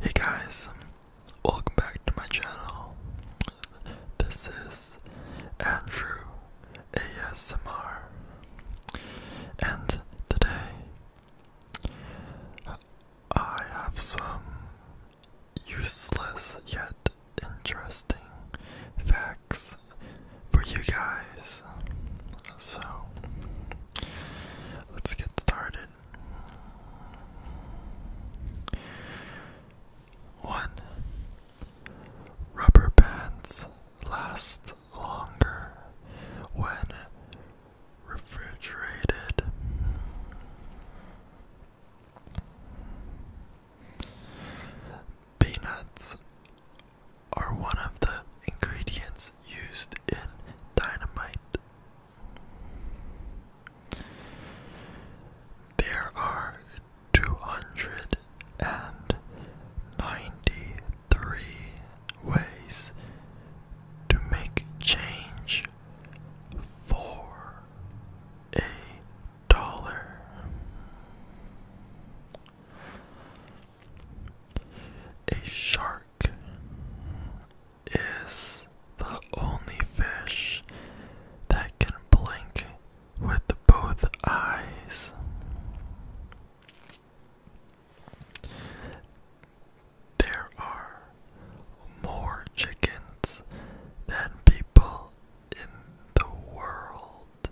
Hey guys, welcome back to my channel. This is Andrew ASMR, and today I have some useless yet interesting facts for you guys. So, Let's get started. One rubber bands last longer when refrigerated. Peanuts are one of the ingredients used in dynamite. There are 293 ways to make change for a dollar. A shark is the only fish that can blink with both eyes. There are more chickens than people in the world.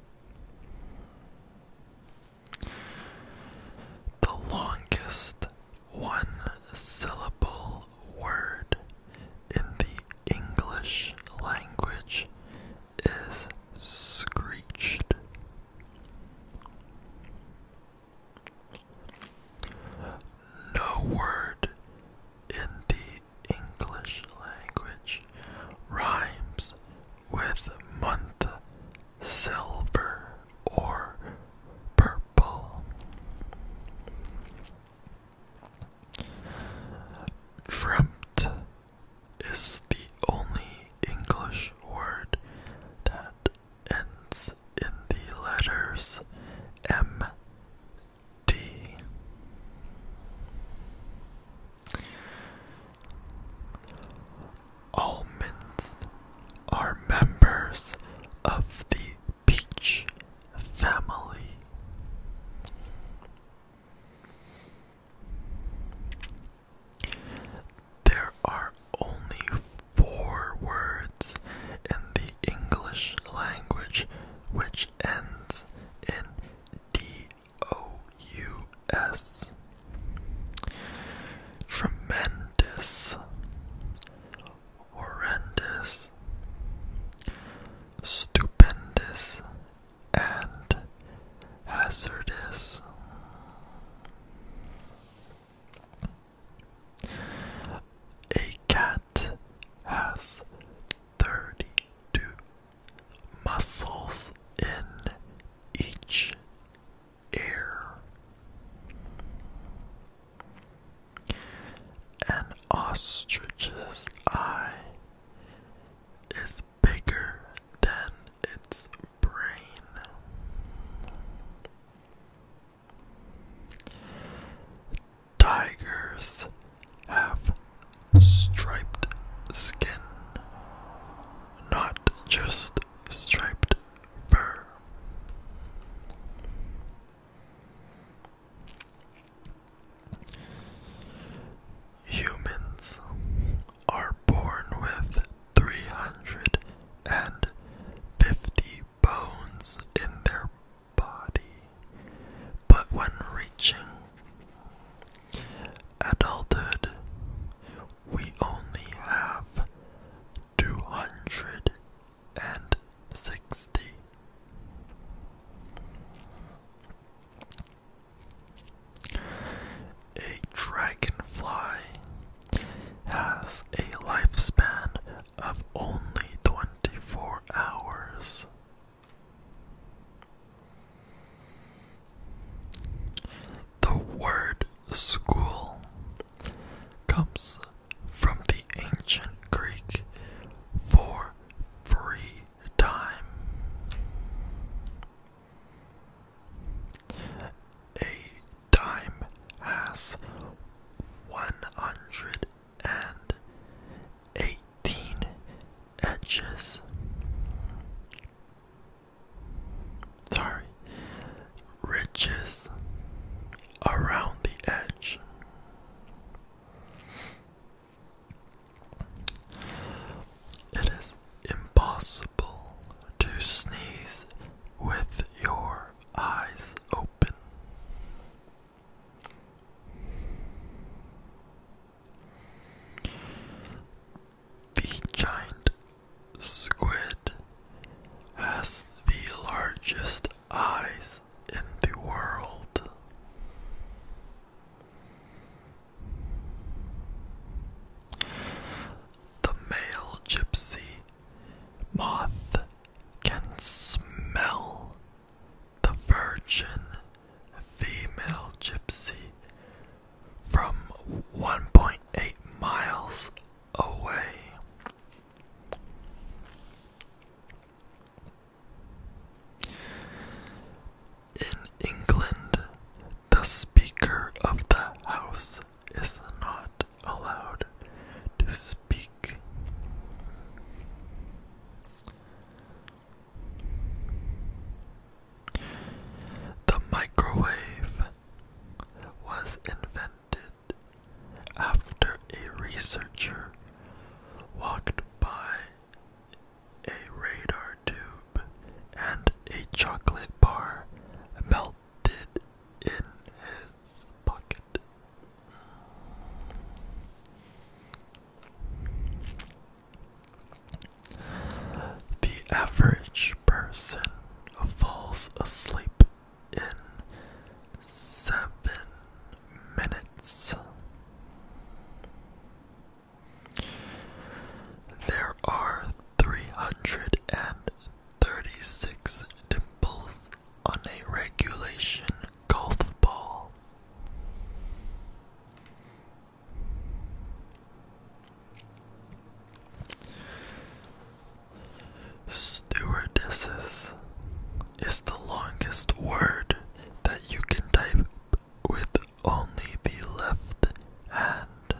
The longest one syllable word in the English language is screeched. No word in the English language rhymes with month silver or purple. Dreamt is the only English word that ends in the letters M D. Almonds are members of the peach family. There are only four words in the English language which ends in D O U S. Tremendous, horrendous, stupendous, and hazardous. A cat has 32 muscles in each air. An ostrich's eye is bigger than its brain. Tigers have striped skin, not just striped striped fur. Humans are born with 350 bones in their body, but when reaching adulthood, we only have two hundred and sixty. A dragonfly has a lifespan of only 24 hours. The word school comes from the ancient Greek for free time. A dime has one hundred and eighteen edges sorry, ridges around the edge. It is impossible to sneeze with your eyes open. The giant squid has the largest eyes in the world. The male gypsy moth can smell the virgin female gypsy from 1.8 miles away. In England, the Speaker of the House is not allowed to speak. The microwave was invented after a researcher walked by a radar tube and a chocolate bar melted in his pocket. The average person falls asleep in seven minutes. There are 336 dimples on a regulation golf ball. Stewardesses is the longest word that you can type with only the left hand.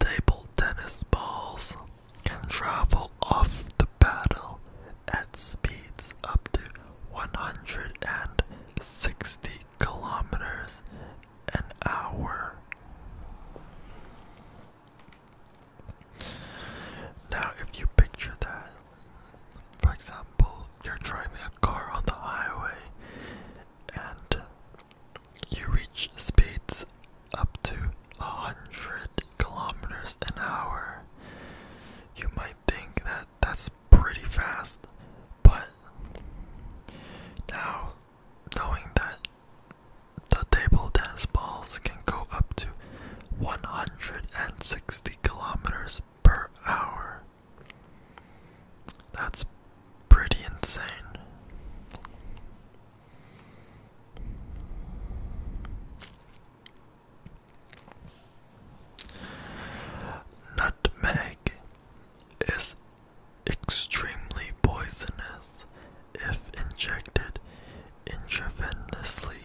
Table tennis balls can travel off the battle at speeds up to 160 kilometers an hour. Now, if you picture that, for example, you're driving a car on the highway and you reach speeds up to 100 kilometers an hour. You might think that that's pretty fast, but now knowing that the table tennis balls can go up to 160 kilometers per hour. That's pretty insane. Nutmeg is extremely poisonous if injected intravenously.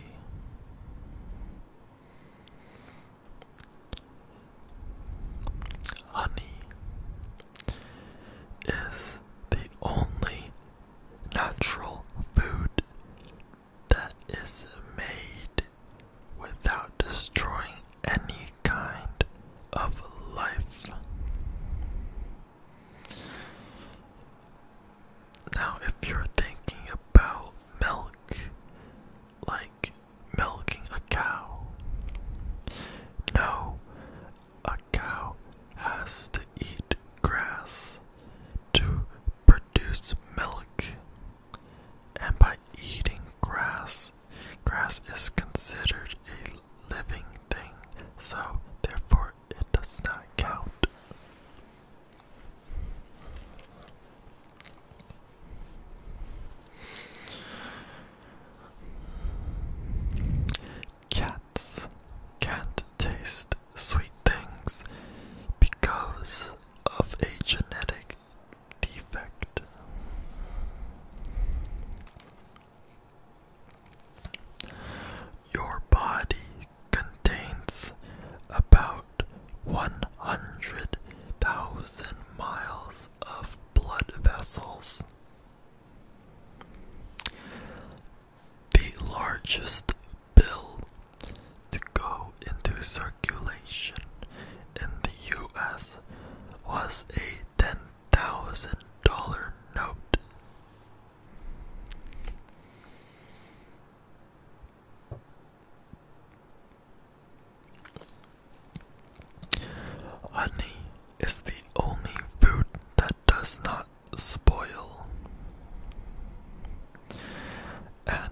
Honey is the only natural food that is made without destroying any kind of life. Now, if you're thinking about milk, like milking a cow, no, a cow has to eat grass to produce milk, and by eating grass, grass is considered a living thing, so therefore it does not count. Cats can't taste sweet things because of a genetic defect. Your body contains about 100,000 miles of blood vessels the largest bill to go into circulation in the US was a $10,000 note. Honey is the only food that does not spoil. And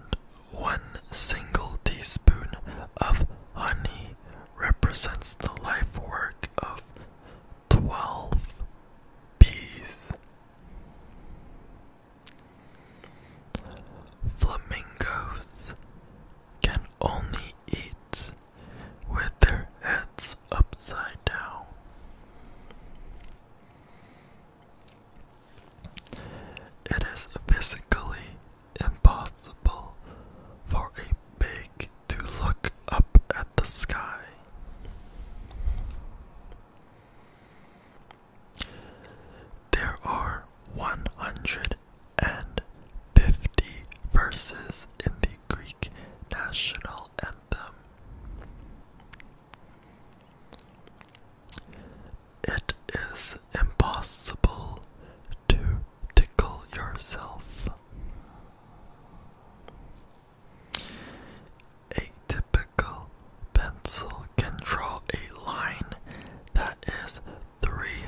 one single teaspoon of honey represents the life work of 12 bees. Flamingos can only eat with their heads upside down. It is physically impossible for a pig to look up at the sky. There are 150 verses in the Greek national anthem. It is impossible to tickle yourself. A typical pencil can draw a line that is three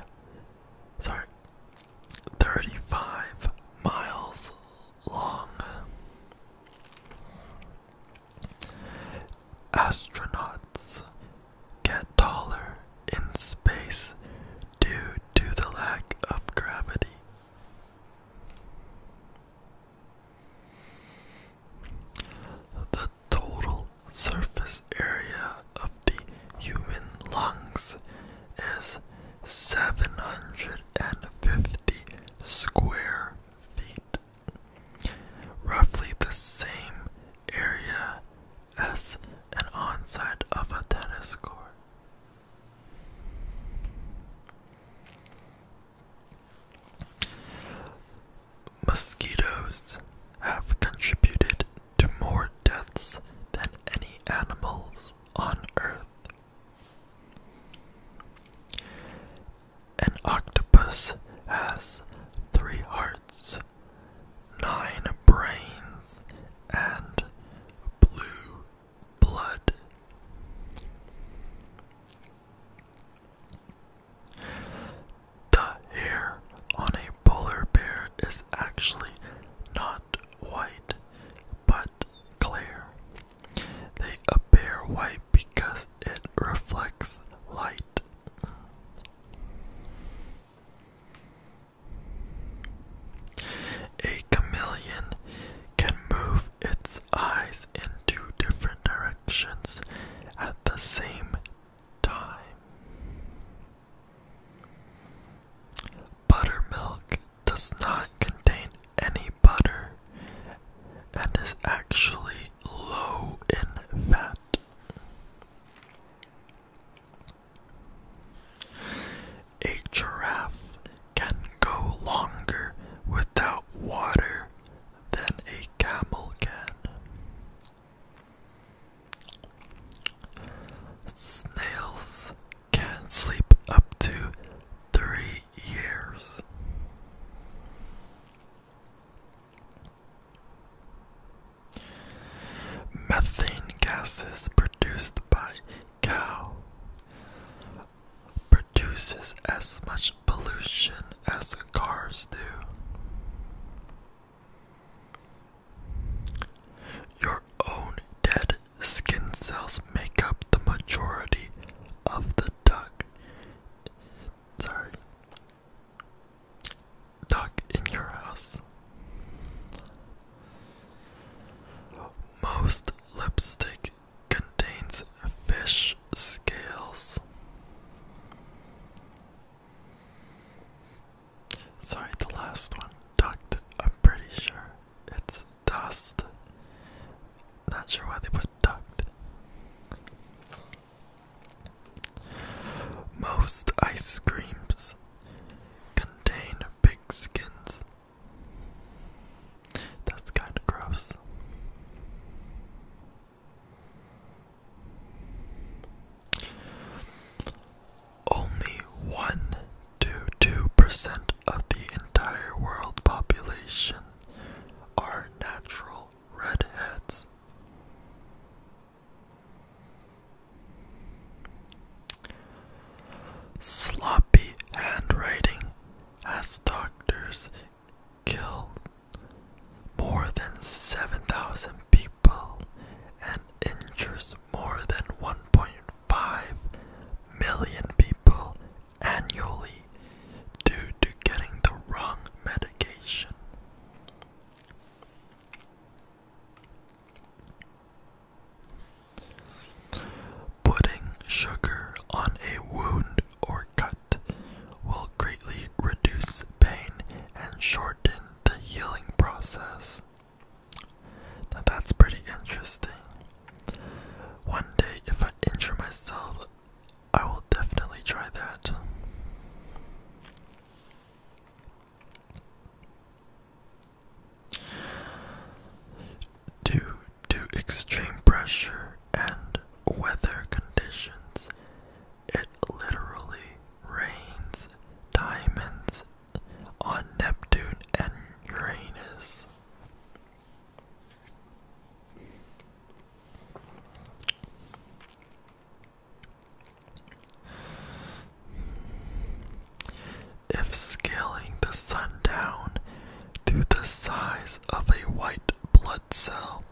sorry thirty five miles long. Astronauts get taller in space due to the lack of gravity. The total surface area of the human lungs is 750 square feet, roughly the same area as an onside of a tennis court. Mosquitoes have contributed to more deaths than any animals on Earth an octopus has three hearts, nine brains, and blue blood. The hair on a polar bear is actually not white, but clear. They appear white because it reflects light. A chameleon can move its eyes in two different directions at the same time. Buttermilk does not contain any butter and is actually low in fat. A giraffe can go longer without water than a camel can. Snails can sleep up to three years. Methane gases produced by cow produces as much pollution as cars do. Your own dead skin cells make up the majority of the duck. Sorry. Duck in your house. Most lipstick contains fish scales. Sorry, the last one, ducked. I'm pretty sure it's dust. Not sure why they put most ice creams contain pig skins. That's kind of gross. Only 1 to 2% of the entire world population are natural redheads. Sloppy handwriting as doctors kill more than 7,000 people and injures more than 1.5 million people annually due to getting the wrong medication. Putting sugar on a wound or cut will greatly reduce pain and shorten the healing process. Now that's pretty interesting. One day, if I injure myself I will definitely try that. Due to extreme pressure and weather conditions, it literally rains diamonds on Neptune and Uranus. If scaling the sun down to the size of a white blood cell,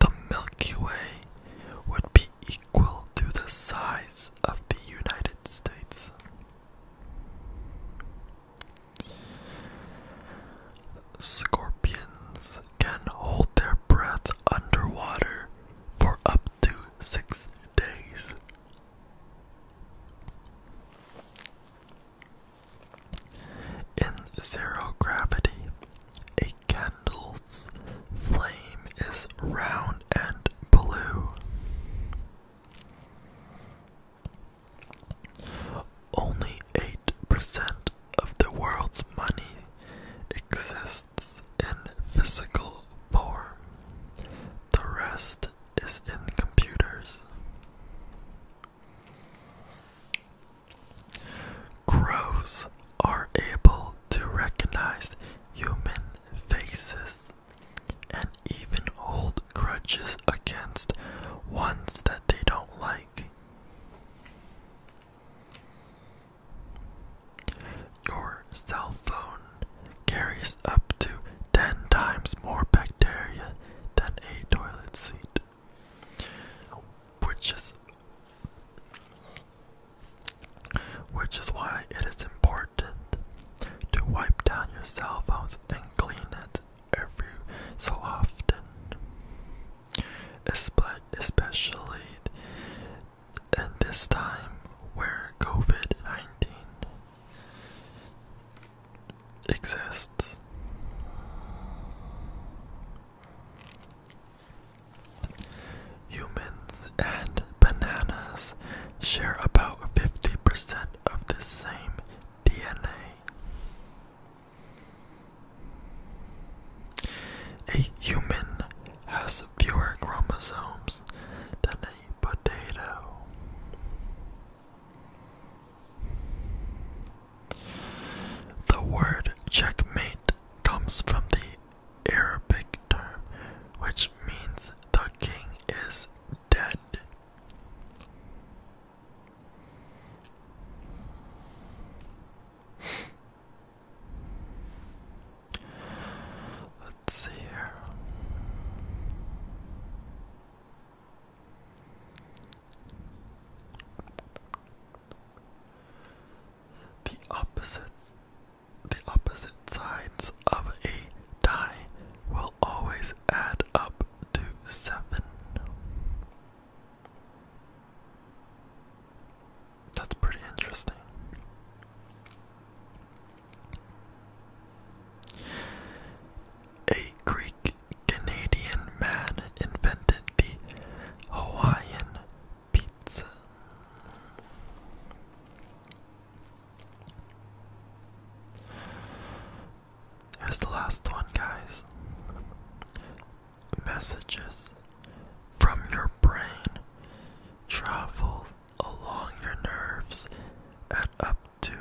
the Milky Way would be equal to the size of the United States. Scorpions can hold their breath underwater for up to six days. In zero gravity, a candle's flame is round and blue. Only 8% of the world's money exists in physical form. The rest is in computers. Crows are able to recognize human faces even hold grudges against ones that they don't like. Your cell phone carries up to 10 times more bacteria than a toilet seat, which is which is why it is important to wipe down your cell phones and clean it every so often, especially in this time where COVID 19 exists. Humans and bananas share about 50% of the same DNA. A human has fewer chromosomes than a potato. The word checkmate comes from the Arabic term which means the king is dead. Let's see here. The opposite the opposite sides of a die will always add up to seven. That's pretty interesting. A Greek Canadian man invented the Hawaiian pizza. Here's the last one, guys. Messages from your brain travel along your nerves at up to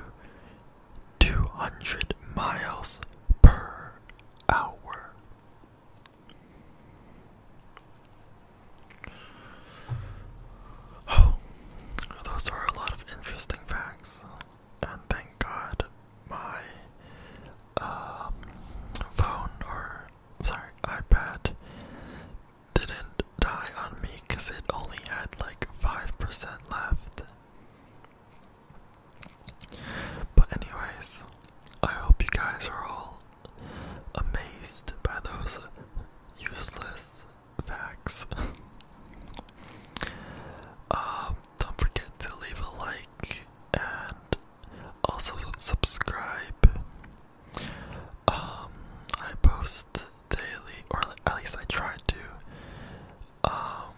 200 miles per hour. Oh, those are a lot of interesting facts and thank God my um, phone or sorry iPad didn't die on me because it only had like five percent left. But anyways, I hope you guys are all amazed by those useless Facts. Um, don't forget to leave a like and also subscribe. Um, I post daily, or at least I try to. Um,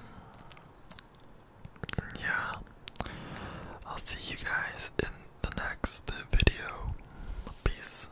yeah. I'll see you guys in the next video. Peace.